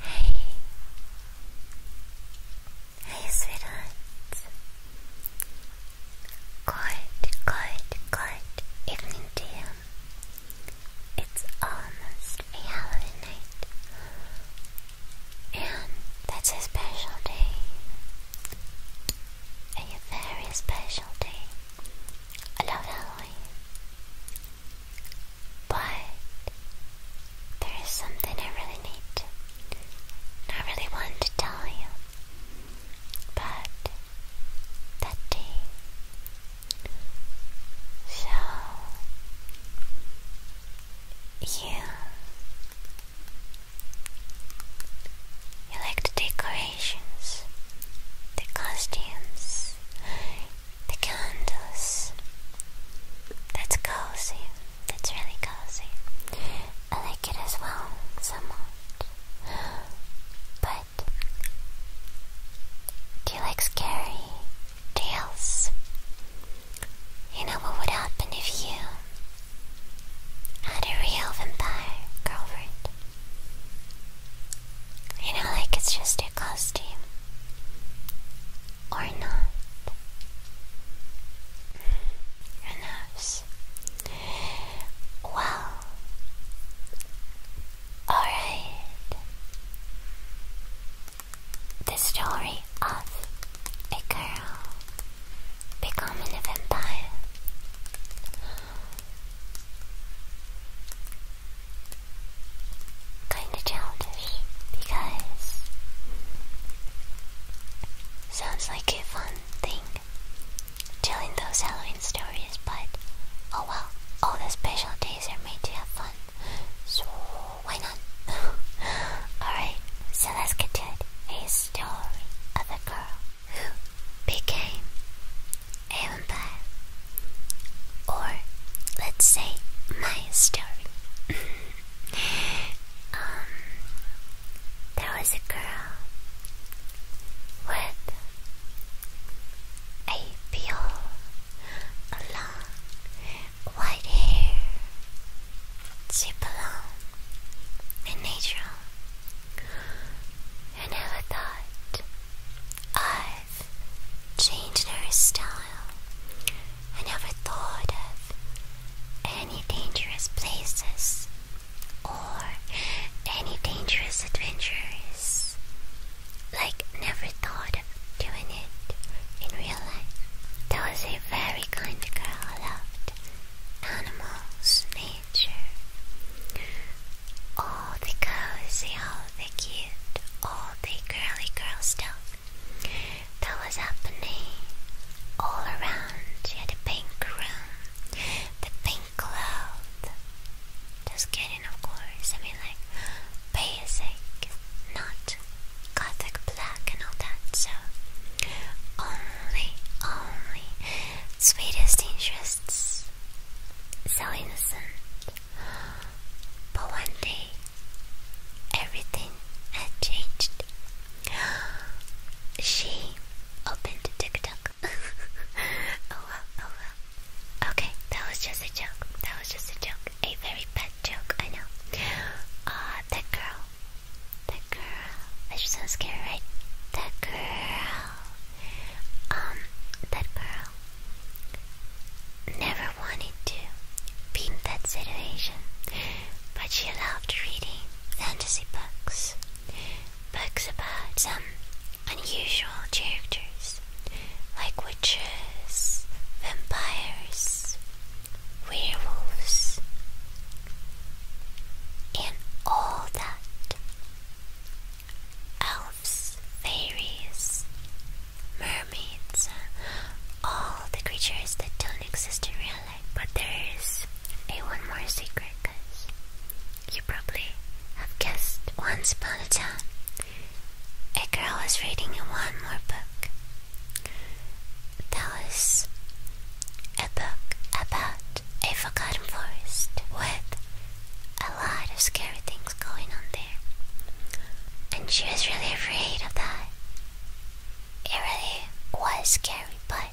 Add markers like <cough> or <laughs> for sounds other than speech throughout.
Hey, hey, sweetheart. Good, good, good evening to you. It's almost a Halloween night, and that's a special day. A very special day. I love Halloween. But there is something I really need I really want to tell you. But that day, so you you like the decorations, the costumes, the candles. That's cozy. That's really cozy. I like it as well, somewhat. But do you like scary tales? You know what would happen if you had a real vampire girlfriend? You know, like it's just your costume. Or not. Who knows? Well. Alright. The story of a girl becoming a vampire kind of childish because sounds like a fun thing telling those Halloween stories, but oh well, all the special days are made to have fun, so why not? <laughs> Alright, so let's get to it. A story of a girl who became Vampire. Or let's say my story. <laughs> um there was a girl with a pure long white hair. She belonged in nature. I never thought I changed her style. I never thought of any dangerous places or any dangerous adventures. Like, never thought of doing it in real life. That was a very kind girl who loved animals, nature all the cozy, all the cute, all the girly girls stuff that was happening all around. She had a pink room, the pink cloth. Just kidding, of course. I mean, like basic, not gothic black and all that. So only, only sweetest interests. So innocent. But one day, everything had changed. She opened TikTok. <laughs> oh well, oh well. Okay, that was just a joke. That was just a joke. A very bad joke, I know. Uh, that girl. That girl. That just sounds scary, right? That girl. Um, that girl never wanted to be in that situation, but she loved reading fantasy books, books about some unusual characters like witches, vampires, werewolves, and all that elves, fairies, mermaids, all the creatures that don't exist in real life. But there is a one more secret, guys. You probably have guessed. Once upon a time, a girl was reading one more book. That was a book about a forgotten forest with a lot of scary things going on there. And she was really afraid of that. It really was scary, but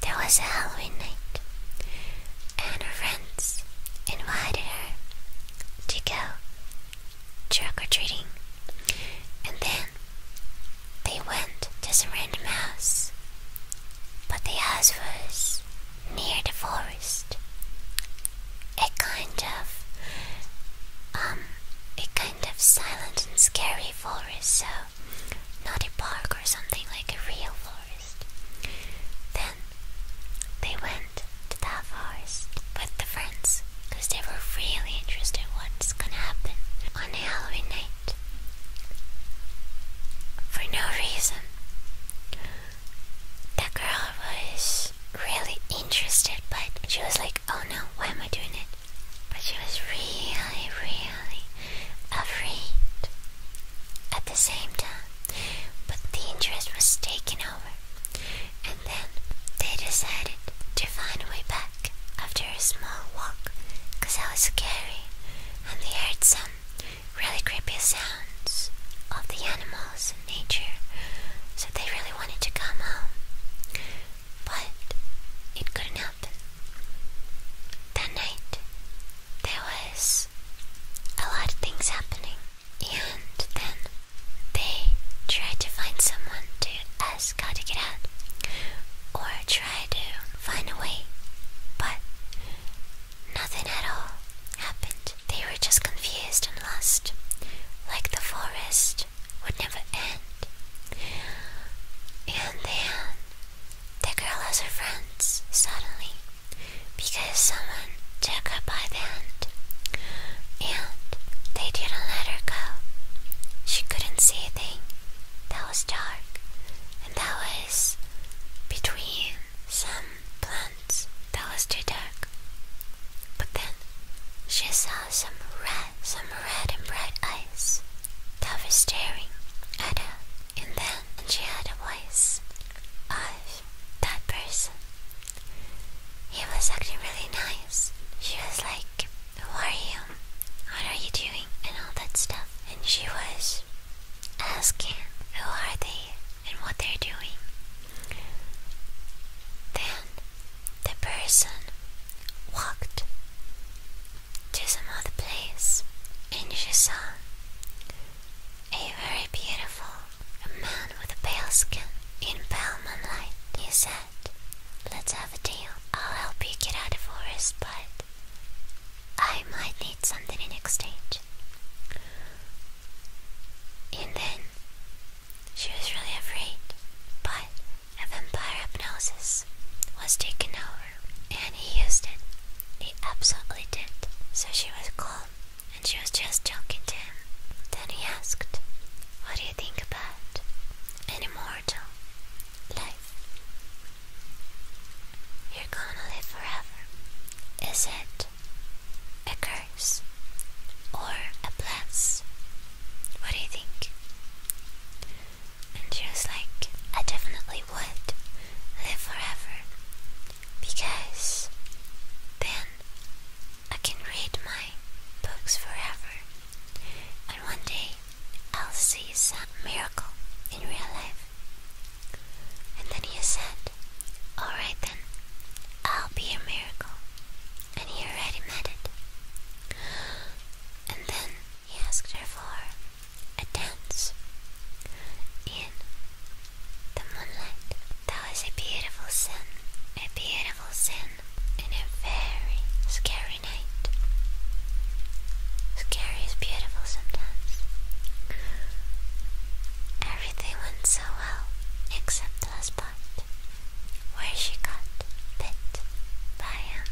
there was a Halloween night, and her friends invited her to go trick or treating. And then they went to some random house, but the house was near the forest. It kind of, um, it kind of silent and scary forest, so not a park or something like a real forest. Then they went to that forest with the friends because they were really interested in what's gonna happen on a Halloween night for no reason. That girl was really interested, but she was like, oh no, why am I doing it? But she was really, really afraid at the same time. But the interest was taking over. And then they decided to find a way back after a small walk because I was scary and they heard some really creepy sounds of the animals and nature, so they really wanted to come home. But it couldn't happen. That night, there was a lot of things happening, and then they tried to find someone to ask how to get out or try to find a way, but Nothing at all happened. They were just confused and lost, like the forest would never end. And then the girl has her friends suddenly because someone took her by the hand and they didn't let her go. She couldn't see a thing. That was dark, and that was between some plants that was too dark. But then she saw some red, some red and bright eyes that were staring at her. And then she heard a voice of that person. He was acting really nice. She was like, Who are you? What are you doing? And all that stuff. And she was asking, Who are they? and what they're doing. Then the person walked to some other place and she saw a very beautiful man with a pale skin in pale moonlight. He said, Let's have a deal. I'll help you get out of the forest, but I might need something in exchange. And then she was really afraid, but a vampire hypnosis was taken over and he used it. He absolutely did. So she was calm and she was just joking to him. Then he asked, What do you think about an immortal life? You're gonna live forever. Is it a curse, or a bless? What do you think? And she was like, I definitely would live forever because then I can read my books forever, and one day I'll see some miracle in real life. And then he said, Alright then, I'll be your miracle, and he already met it. And then he asked her for a dance in the moonlight. That was a beautiful scene, a beautiful scene in a very scary night. Scary is beautiful sometimes. Everything went so well, except the spot where she got bit by him.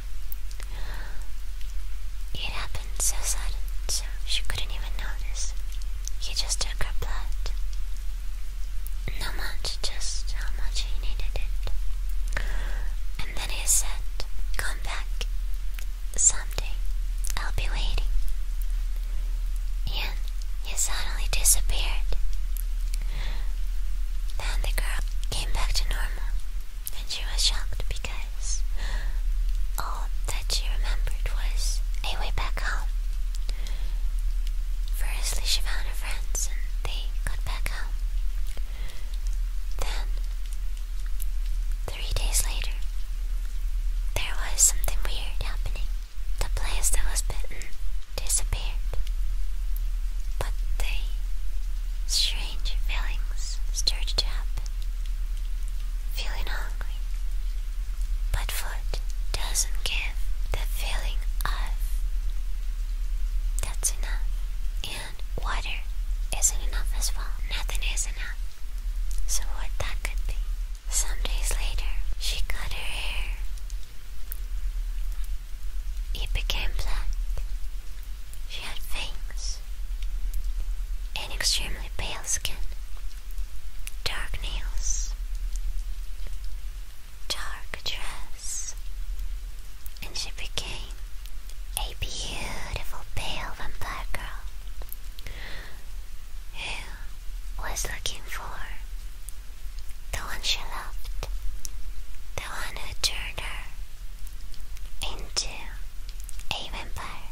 It happened so sudden, so she couldn't even notice. He just took her blood. Not much, just how much he needed it. And then he said, Come back. Someday I'll be waiting. And he suddenly disappeared. Then the girl came back to normal, and she was shocked because all that she remembered was a way back home. Firstly, she found her friends and they got back home. Then, three days later, there was something weird happening. The place that was bitten disappeared. But the strange feelings started to happen. Feeling hungry. But food doesn't give the feeling of that's enough. And water isn't enough as well. Nothing is enough. So what that could be. Some days later, she cut her hair. It became black. She had fangs, an extremely pale skin, dark nails, dark dress, and she became a beautiful pale vampire girl who was looking for the one she loved, the one who turned her into a vampire.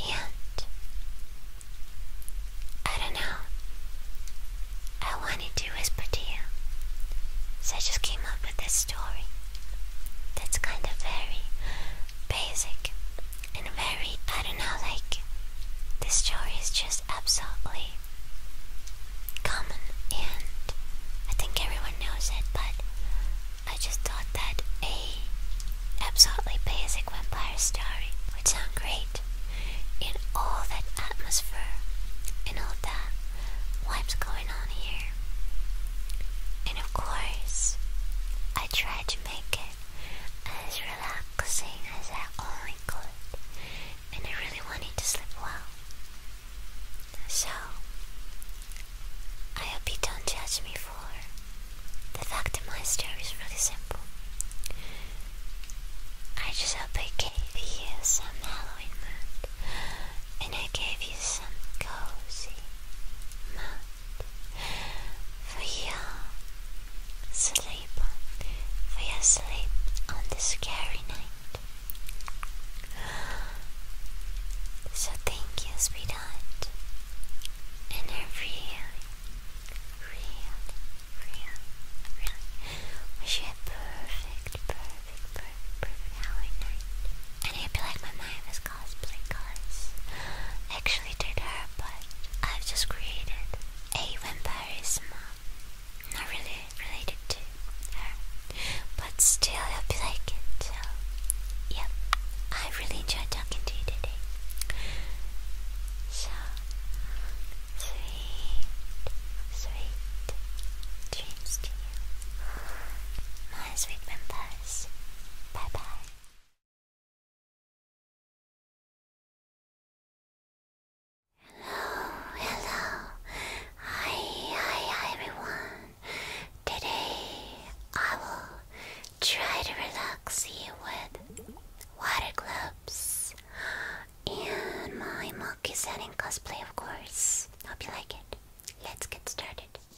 And I don't know, I wanted to whisper to you, so I just came up with this story that's kind of very basic and very, I don't know, like, this story is just absolutely common, and I think everyone knows it, but I just thought that a absolutely basic vampire story would sound great in all that atmosphere in all that what's going on here. And of course, I tried to make as relaxing as I only oh could, and I really wanted to sleep well. So, I hope you don't judge me for the fact that my story is really simple. I just hope I gave you some Halloween mood, and I gave you some cozy mood for sleep, for sleep on this scary night. So thank you, sweetheart, and I really, really, really, really wish you perfect, perfect, perfect, perfect night. And I feel like my mind was cosplay cards. Actually, did her, but I've just created a vampire Not really related to her, but still, I hope So, yep, I really enjoyed talking to you today. So, sweet, sweet dreams to you, my sweet vampires. Bye bye. Hello, hello. Hi, hi, hi everyone. Today I will try to relax you with water gloves and my monkey setting cosplay, of course. Hope you like it. Let's get started.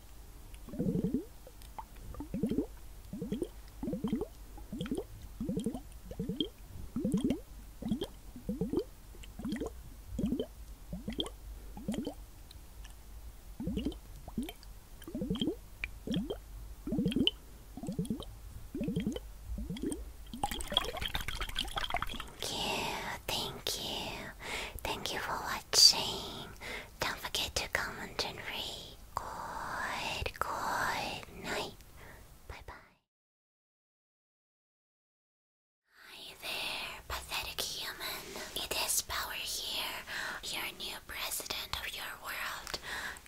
Thank you, thank you, thank you for watching. Don't forget to comment and read. Good, good night. Bye bye. Hi there, pathetic human. It is Power here, your new president of your world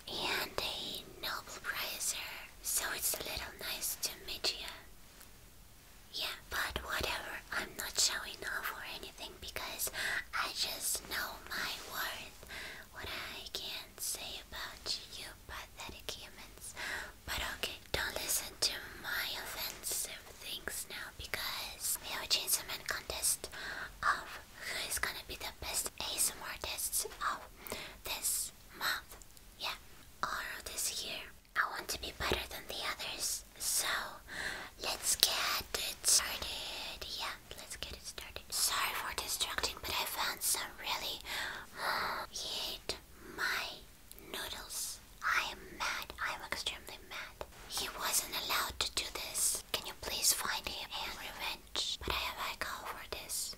and a Nobel Prizer. So it's a little nice to meet you. Yeah, but whatever. I'm not showing off or anything because I just know my worth. What I can not say about you pathetic humans. But okay, don't listen to my offensive things now because we have a Chainsaw Man contest of who is gonna be the best ASMR artists of this month. Yeah, or this year. I want to be better than the others. So let's get it started. Yeah, let's get it started. Sorry for distracting, but I found some really eat <gasps> my noodles. I am mad. I am extremely mad. He wasn't allowed to do this. Can you please find him and revenge? But I have call for this.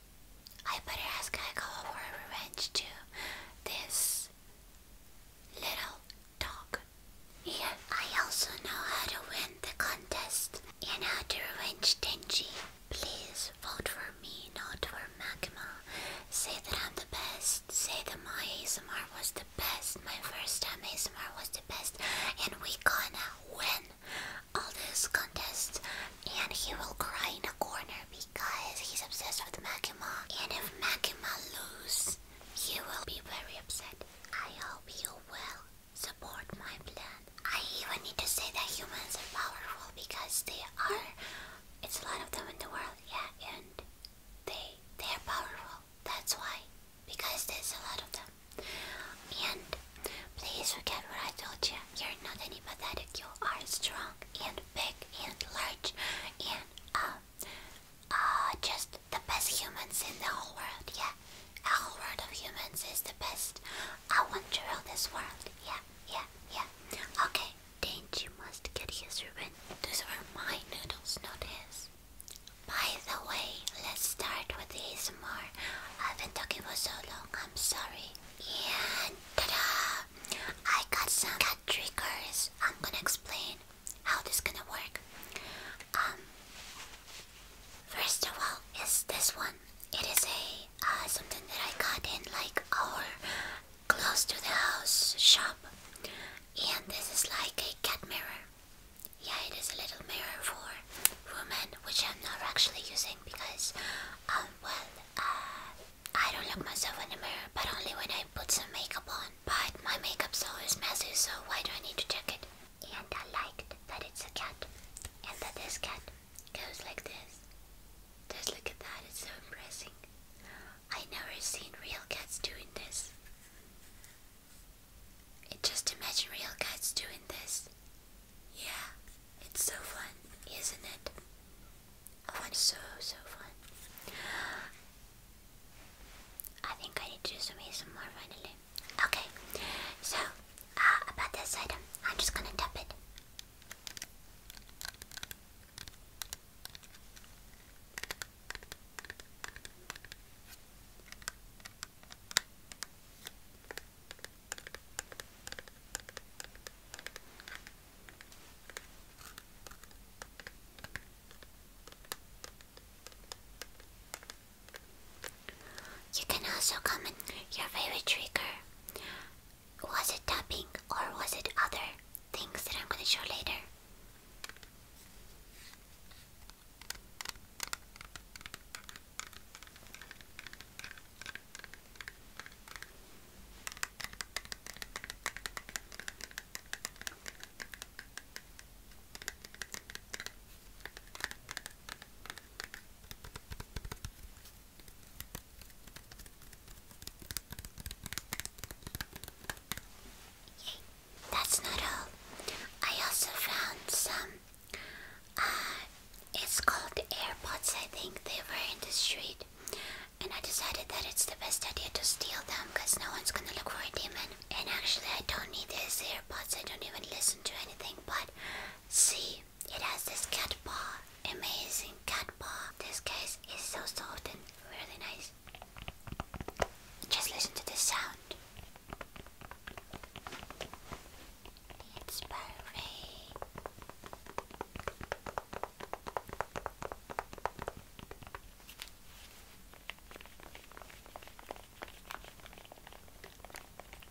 I better ask I call for revenge to this little dog. Yeah, I also know how to win the contest and how to revenge Denji. Please vote for me, not for Magma. Say that I'm the best. Say that my ASMR was the best. My first time ASMR was the best. And we gonna win all this contest. And he will cry in a corner because he's obsessed with Magma. And if Magma lose, he will be very upset. I hope you will support my plan. I even need to say that humans are powerful because they are. It's a lot of them in the world, yeah, and they they are powerful. That's why, because there's a lot of them. And please forget what I told you. You're not any pathetic. You are strong and big and large and um uh, just the best humans in the whole world, yeah. A whole world of humans is the best. I want to rule this world, yeah, yeah, yeah. Okay, danger must get his revenge. Those are my noodles, not his. By the way, let's start with ASMR. I've been talking for so long, I'm sorry. And ta-da! I got some cat triggers. I'm gonna explain how this gonna work. Um, first of all, is this one? It is a uh, something that I got in like our close to the house shop, and this is like a cat mirror. Yeah, it is a little mirror for women, which I'm not actually using because, um, well, uh, I don't look myself in the mirror, but only when I put some makeup on. But my makeup's always messy, so why do I need to check it? And I liked that it's a cat and that this cat goes like this. Just look at that, it's so impressive. I have never seen real cats doing this. just imagine real cats doing this. Yeah, it's so fun, isn't it? Oh, it's so, so fun. I think I need to do some ASMR finally. Okay. So, uh, about this item, I'm just gonna tap it. You can also comment your favorite trigger. Was it tapping or was it other things that I'm going to show later? that's not all. I also found some. Uh, it's called AirPods, I think. They were in the street. And I decided that it's the best idea to steal them because no one's gonna look for a demon and actually I don't need these earbuds, I don't even listen to anything, but see, it has this cat paw, amazing cat paw. This case is so soft and really nice. Just listen to this sound. It's perfect.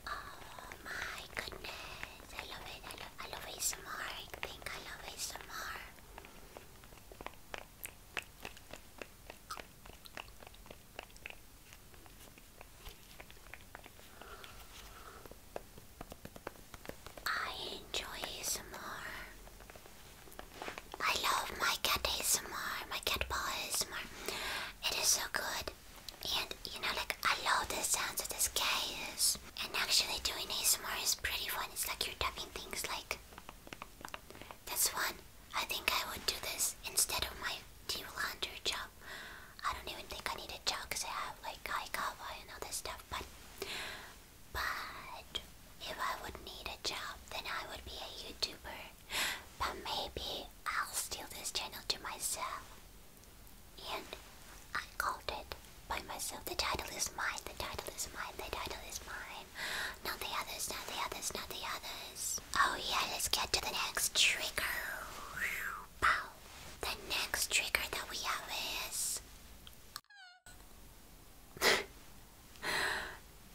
Oh my goodness, I love it, I love, I love it I think I love it I enjoy ASMR. I love my cat ASMR, my cat paw ASMR. It is so good. And you know, like I love the sounds of this case. And actually, doing ASMR is pretty fun. It's like you're tapping things like this one. I think I would do this instead of my deep job. I don't even think I need a job because I have like high cover and all this stuff. But, but if I would need a job, then I would be a YouTuber but maybe I'll steal this channel to myself. And I called it by myself. The title is mine, the title is mine, the title is mine. Not the others, not the others, not the others. Oh yeah, let's get to the next trigger. The next trigger that we have is <laughs> <laughs>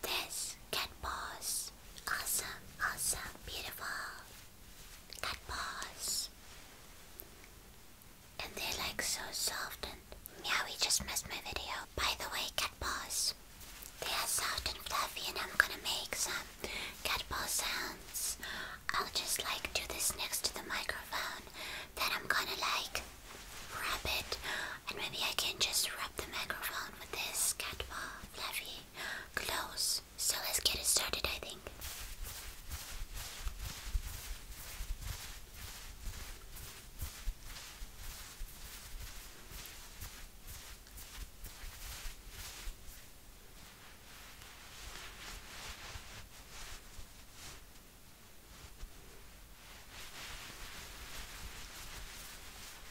This cat paws. Awesome, awesome, beautiful. Cat paws. And they're like so soft and meowy just missed my video. By the way, cat paws. They are soft and fluffy and I'm gonna make some cat paw sounds. I'll just like do this next to the microphone. Then I'm gonna like rub it and maybe I can just rub the microphone with this cat paw fluffy close. So let's get it started, I think.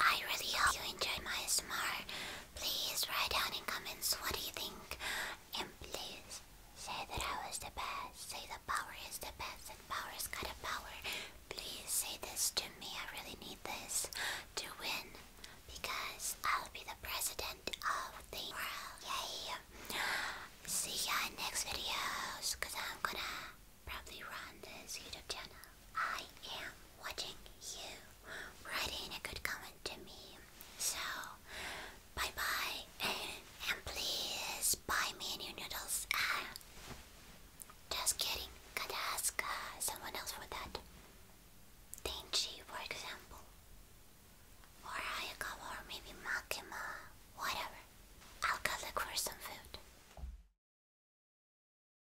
I really hope you enjoyed my smart. Please write down in comments what do you think. And please say that I was the best. Say the power is the best and power's got a power. Please say this to me. I really need this to win. Because I'll be the president of the world. Yay! See ya in next videos. Cause I'm gonna probably run this YouTube channel. I am watching you. Write a good comment to me. So, bye bye, and, please buy me new noodles. Ah, just kidding. Gotta ask uh, someone else for that. Tenchi, for example. Or Hayakawa, or maybe Makima, uh, whatever. I'll go look for some food.